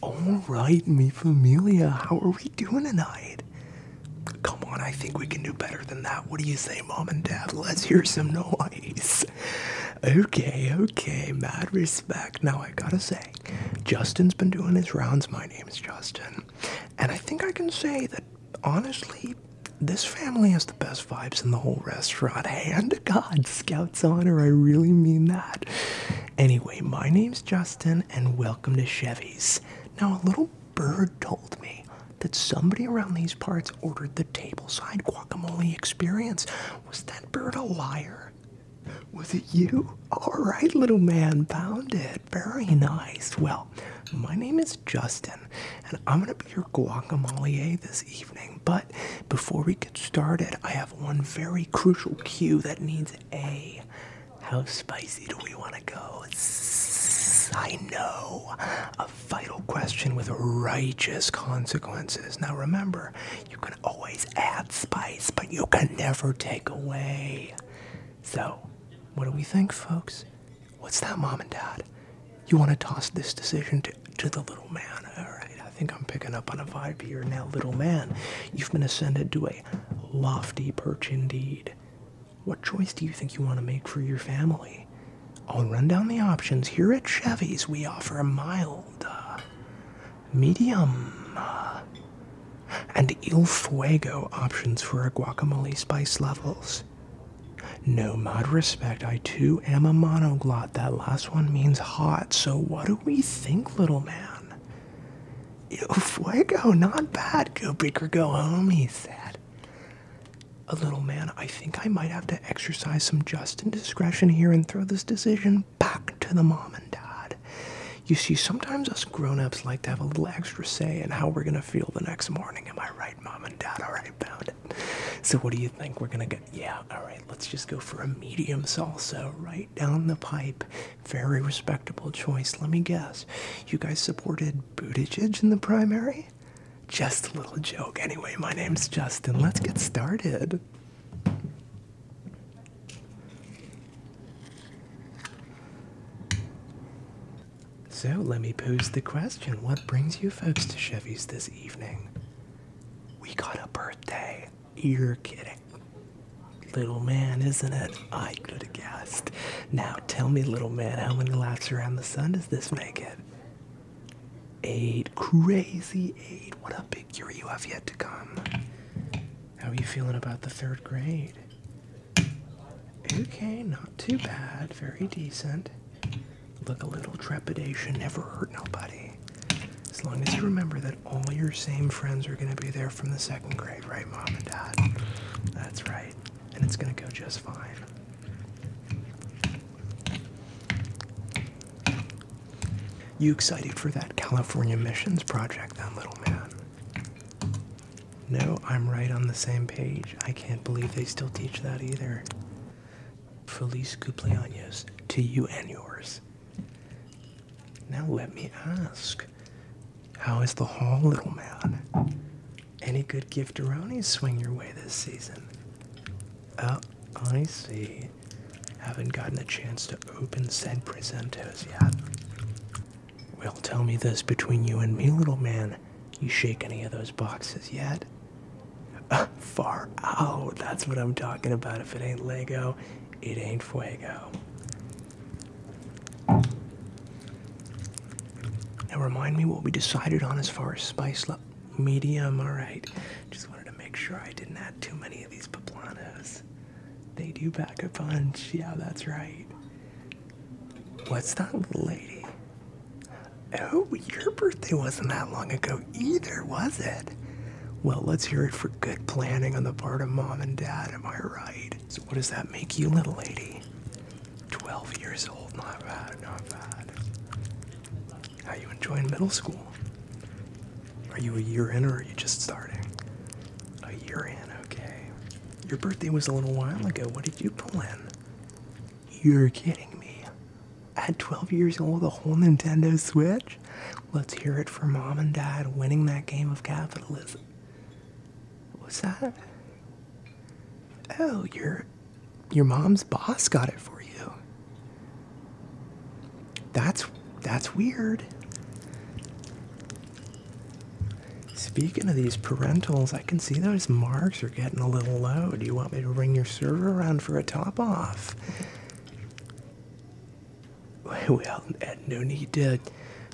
All right, me familia, how are we doing tonight? Come on, I think we can do better than that. What do you say, mom and dad? Let's hear some noise. Okay, okay, mad respect. Now, I gotta say, Justin's been doing his rounds. My name is Justin. And I think I can say that honestly, this family has the best vibes in the whole restaurant. God, Scout's Honor. I really mean that. Anyway, my name's Justin, and welcome to Chevy's. Now, a little bird told me that somebody around these parts ordered the tableside guacamole experience. Was that bird a liar? Was it you? All right, little man, found it. Very nice. Well, my name is Justin, and I'm going to be your guacamole this evening. But before we get started, I have one very crucial cue that needs a. How spicy do we want to go? I know. A vital question with righteous consequences. Now remember, you can always add spice, but you can never take away. So, what do we think, folks? What's that, Mom and Dad? You want to toss this decision to, to the little man. All right, I think I'm picking up on a vibe here. Now, little man, you've been ascended to a lofty perch indeed. What choice do you think you want to make for your family? I'll run down the options. Here at Chevy's, we offer a mild, uh, medium, uh, and el Fuego options for our guacamole spice levels. No mod respect. I too am a monoglot. That last one means hot. So what do we think, little man? Yo, fuego, not bad. Go big or go home, he said. A little man, I think I might have to exercise some just indiscretion here and throw this decision back to the mom and dad. You see, sometimes us grown ups like to have a little extra say in how we're going to feel the next morning. Am I right, mom and dad? All right, Bound? So what do you think? We're gonna go yeah, alright, let's just go for a medium salsa right down the pipe. Very respectable choice. Let me guess. You guys supported Buttigieg in the primary? Just a little joke. Anyway, my name's Justin. Let's get started. So let me pose the question What brings you folks to Chevy's this evening? We got a birthday. You're kidding. Little man, isn't it? I could have guessed. Now tell me, little man, how many laps around the sun does this make it? Eight. Crazy eight. What a big year you have yet to come. How are you feeling about the third grade? Okay, not too bad. Very decent. Look, a little trepidation never hurt nobody. As long as you remember that all your same friends are going to be there from the second grade, right, Mom and Dad? That's right. And it's going to go just fine. You excited for that California Missions project, then, little man? No, I'm right on the same page. I can't believe they still teach that either. Feliz cumpleaños to you and yours. Now let me ask, how is the hall, little man? Any good gifteronis swing your way this season? Oh, I see. Haven't gotten a chance to open said presentos yet. Well, tell me this between you and me, little man. You shake any of those boxes yet? Uh, far out. That's what I'm talking about. If it ain't Lego, it ain't Fuego. Now, remind me what we decided on as far as spice level. Medium, alright. Just wanted to make sure I didn't add too many of these poplanos. They do pack a punch. Yeah, that's right. What's that little lady? Oh, your birthday wasn't that long ago either, was it? Well, let's hear it for good planning on the part of mom and dad, am I right? So, what does that make you, little lady? 12 years old, not bad, not bad. How you enjoying middle school? Are you a year in or are you just starting? A year in, okay. Your birthday was a little while ago. What did you pull in? You're kidding me. At 12 years old, a whole Nintendo Switch? Let's hear it for mom and dad winning that game of capitalism. What's that? Oh, your your mom's boss got it for you. That's that's weird. Speaking of these parentals, I can see those marks are getting a little low. Do you want me to ring your server around for a top off? Well, no need to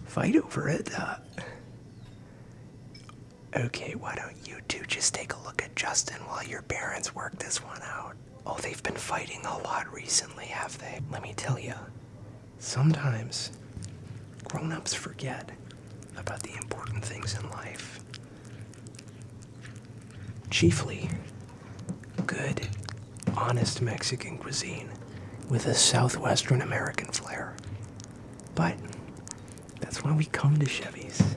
fight over it. Uh. okay, why don't you two just take a look at Justin while your parents work this one out? Oh, they've been fighting a lot recently, have they? Let me tell you, sometimes grown ups forget about the important things in life. Chiefly, good, honest Mexican cuisine with a southwestern American flair. But that's why we come to Chevy's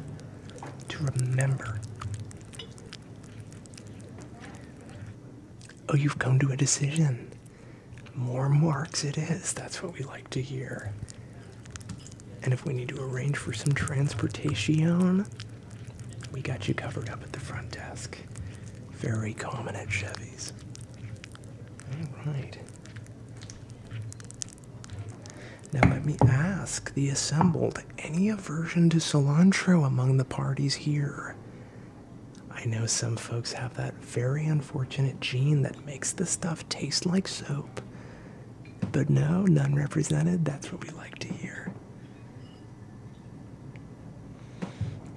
to remember Oh, you've come to a decision. More marks it is. That's what we like to hear. And if we need to arrange for some transportation, we got you covered up at the front desk. Very common at Chevy's. All right. Now let me ask the assembled any aversion to cilantro among the parties here. I know some folks have that very unfortunate gene that makes the stuff taste like soap. But no, none represented, that's what we like to hear.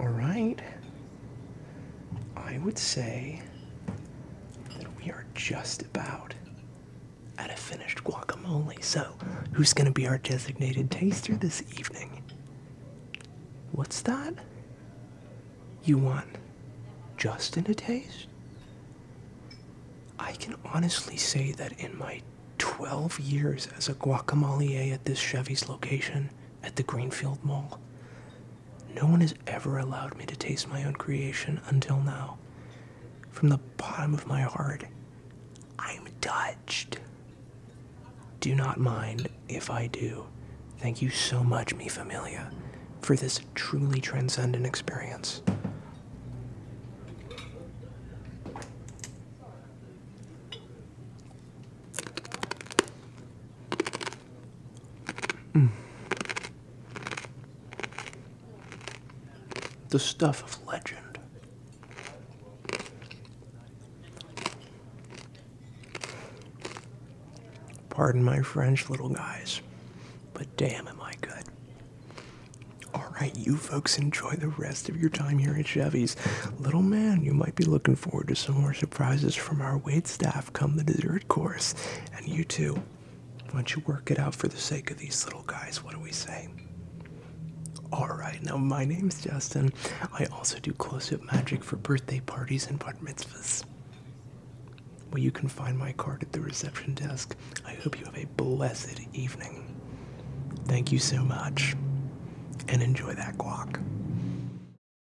Alright, I would say that we are just about at a finished guacamole. So, who's going to be our designated taster this evening? What's that? You want Justin to taste? I can honestly say that in my 12 years as a guacamole at this Chevy's location at the Greenfield Mall, no one has ever allowed me to taste my own creation until now. From the bottom of my heart, I'm touched. Do not mind if I do. Thank you so much, mi familia, for this truly transcendent experience. The stuff of legend. Pardon my French, little guys, but damn, am I good. Alright, you folks enjoy the rest of your time here at Chevy's. Little man, you might be looking forward to some more surprises from our wait staff come the dessert third course. And you two, why don't you work it out for the sake of these little guys? What do we say? Alright, now my name's Justin. I also do close up magic for birthday parties and bar mitzvahs. Well, you can find my card at the reception desk. I hope you have a blessed evening. Thank you so much, and enjoy that guac.